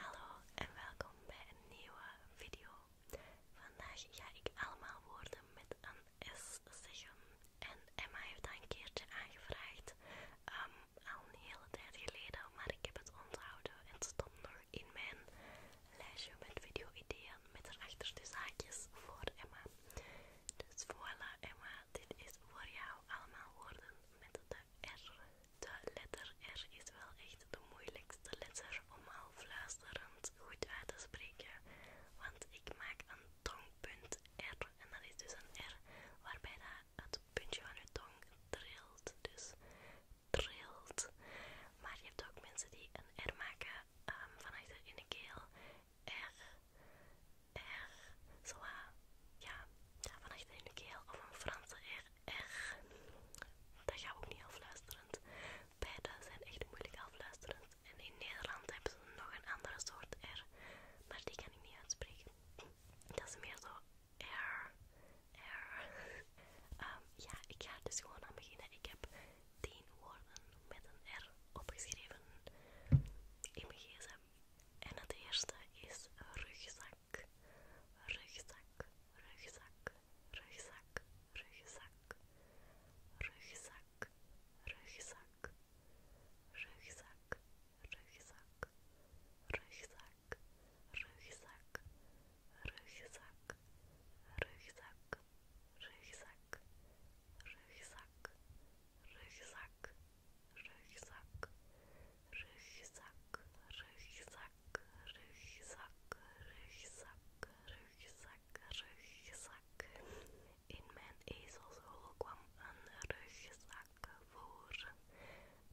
Hallo en welkom bij een nieuwe video. Vandaag ga ik allemaal woorden met een S zeggen. En Emma heeft dat een keertje aangevraagd. Ehm, al een hele tijd geleden, maar ik heb het onthouden. Het stond nog in mijn lijstje met video-ideeën met erachter de zaakjes voor Emma. Dus voilà Emma, dit is voor jou allemaal woorden met de R. De letter R is wel echt de moeilijkste letter om al fluisterend goed uit te spreken. Want ik maak een tongpunt R. En dat is dus een R waarbij dat het puntje van je tong trilt. Dus trilt. Maar je hebt ook mensen die een R maken ehm, vanuit de ene keel erg, erg zwaar. Ja, vanaf heb een keel of een Franse R, R. Dat gaat ook niet fluisterend. Beide zijn echt moeilijk fluisterend. En in Nederland hebben ze nog een andere soort R, maar die kan ik niet uitspreken. Dat is meer zo R, R. Ehm, ja, ik ga het dus gewoon aan beginnen. Ik heb 10 woorden met een R opgeschreven in mijn gsm. En het eerste is rugzak, rugzak, rugzak, rugzak, rugzak, rugzak, rugzak, rugzak, rugzak, rugzak, rugzak, rugzak, rugzak, rugzak, rugzak, rugzak, rugzak, rugzak, rugzak, rugzak, rugzak, rugzak, rugzak. In mijn ezelsrol kwam een rugzak voor.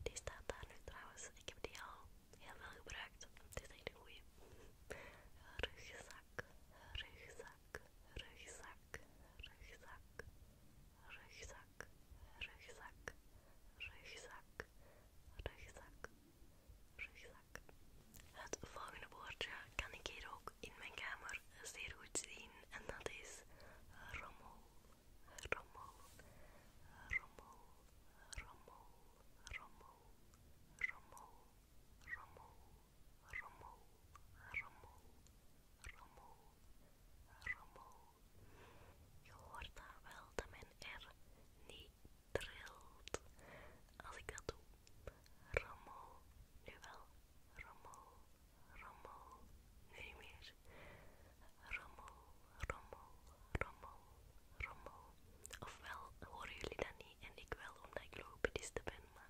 Die staat daar nu trouwens. Ik heb die al heel veel gebruikt. Het is echt een goeie. Rugzak, rugzak rugzak, rugzak, rugzak, rugzak, rugzak, rugzak, rugzak. Het volgende woordje kan ik hier ook in mijn kamer zeer goed zien en dat is rommel, rommel, rommel, rommel, rommel, rommel, rommel rommel, rommel, rommel, rommel. Je hoort daar wel dat mijn R niet trilt als ik dat doe. Rommel, nu wel. Rommel, rommel, nu niet meer. Rommel, rommel, rommel, rommel. Ofwel horen jullie dat niet en ik wel omdat ik logopediste ben, maar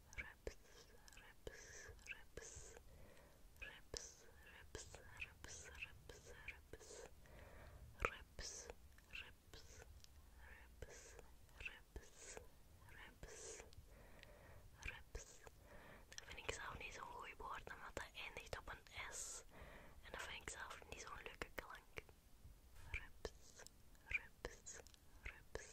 Rips, rips, rips, rips, rips, rips, rips, rips, rips, rips, rips, reps, rips. Dat vind ik zelf niet zo'n goeie woord, omdat dat eindigt op een S. En dat vind ik zelf niet zo'n leuke klank. Rips reps, reps,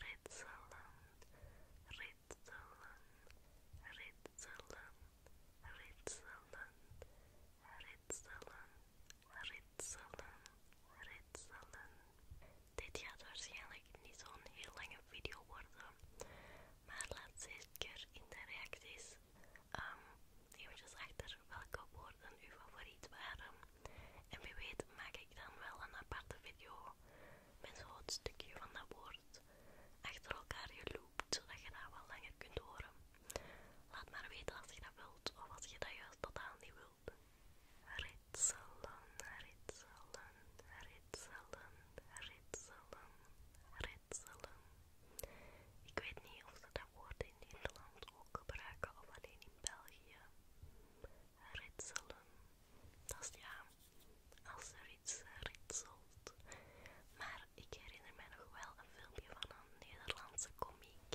ritselen, ritselen, ritselen, ritselen, ritselen, ritselen, ritselen. Dit gaat waarschijnlijk niet zo'n heel lange video worden, maar laat zeker in de reacties um, eventjes achter welke woorden uw favoriet waren. En wie weet maak ik dan wel een aparte video met zo'n stukje van dat woord achter elkaar geloopt, zodat je dat wel langer kunt horen. Laat maar weten als je dat wilt of als je dat juist totaal niet wilt. Ritselen, ritselen, ritselen, ritselen, ritselen. Ik weet niet of ze dat woord in Nederland ook gebruiken of alleen in België ritselen. Dat is ja, als er iets eh, ritselt. Maar ik herinner mij nog wel een filmpje van een Nederlandse comiek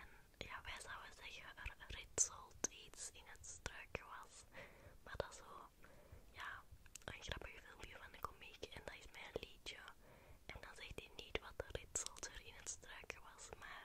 En ja, wij zouden zeggen er ritselt iets in het was, Maar dat is zo, ja, een grappig filmpje van de komiek. En dat is mijn liedje. En dan zegt hij niet wat er ritselt er in het struiken was, maar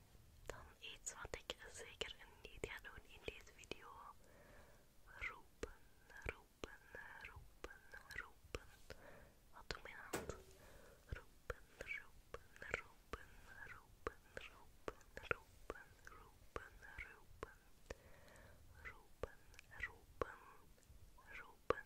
Dan iets wat ik zeker niet ga doen in deze video. Roepen, roepen, roepen, roepen. Wat doe mijn hand? Roepen, roepen, roepen, roepen, roepen, roepen, roepen, roepen. Roepen, roepen, roepen, roepen,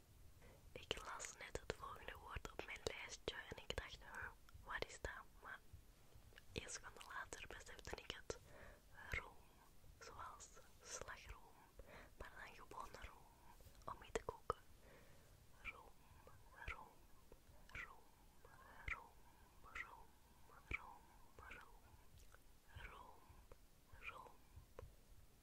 Ik las net het volgende woord op mijn lijstje en ik dacht, wat is dat? Maar eerst de later besefte ik het. Room, zoals slagroom, maar dan gewone room om mee te koken. room, room, room, room, room, room, room, room, room,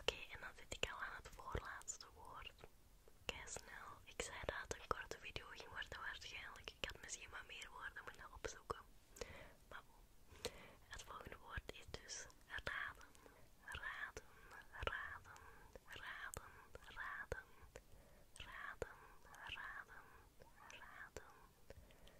Oké, en dan zit ik al aan het voorlaatste woord. Kijk snel. Ik zei dat een korte video ging worden waarschijnlijk. Ik had misschien wat meer woorden moeten opzoeken. Maar Het volgende woord is dus raden. Raden, raden, raden, raden. Raden, raden, raden, raden.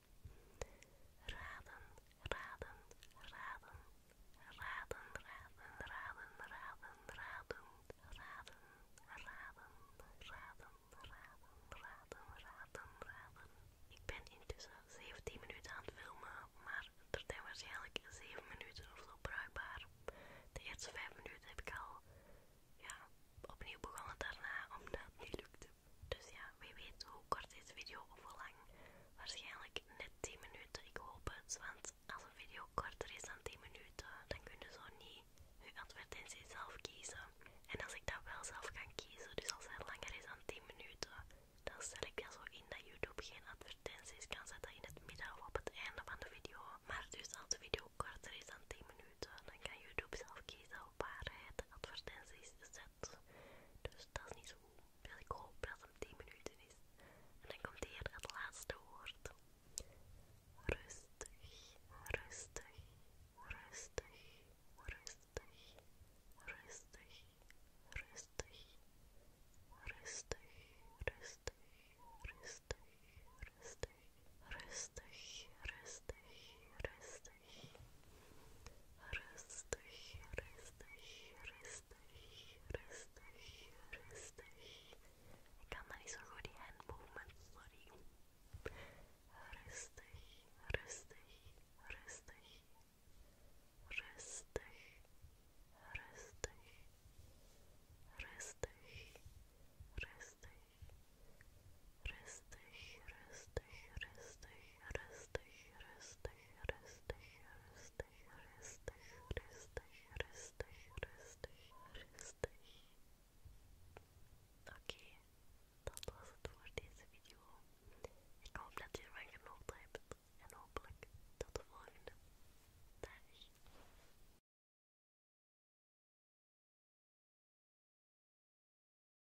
Raden, raden, raden, raden, raden, raden, raden, raden, raden, raden, raden, raden, raden, raden, Ik ben intussen 17 minuten aan het filmen, maar er zijn waarschijnlijk 7 minuten of zo bruikbaar. De eerste 5 minuten heb ik al ja, opnieuw begonnen daarna, omdat het niet lukt. Dus ja, wie weet hoe kort deze video of hoe lang. Waarschijnlijk net 10 minuten, ik hoop het. Want als een video korter is dan 10 minuten, dan kun je zo niet je advertentie zelf kiezen. En als ik dat wel zelf ga kiezen, dus als hij langer is dan 10 minuten, dan stel ik dat zo in dat YouTube geen advertenties kan zetten in het midden of op het einde van de video. Maar dus als de video korter is dan 10 minuten, dan kan YouTube zelf kiezen op waar hij de advertenties zet. Dus dat is niet zo ik hoop dat het om 10 minuten is. En dan komt hier het laatste woord. Rustig, rustig, rustig, rustig, rustig, rustig, rustig, rustig, rustig, rustig, rustig, rustig, rustig. Rıstih, rıstih, rıstih, rıstih, rıstih. I can't manage already hand movements, sorry. Rıstih, rıstih, rıstih. Rıstih, rıstih, rıstih, rıstih. Rustig, rustig, rustig, rustig, rustig, rustig, rustig, rustig, rustig, rustig, rustig, rustig. Oké, dat was het voor deze video. Ik hoop dat je ervan genoten hebt en hopelijk tot de volgende. Dag.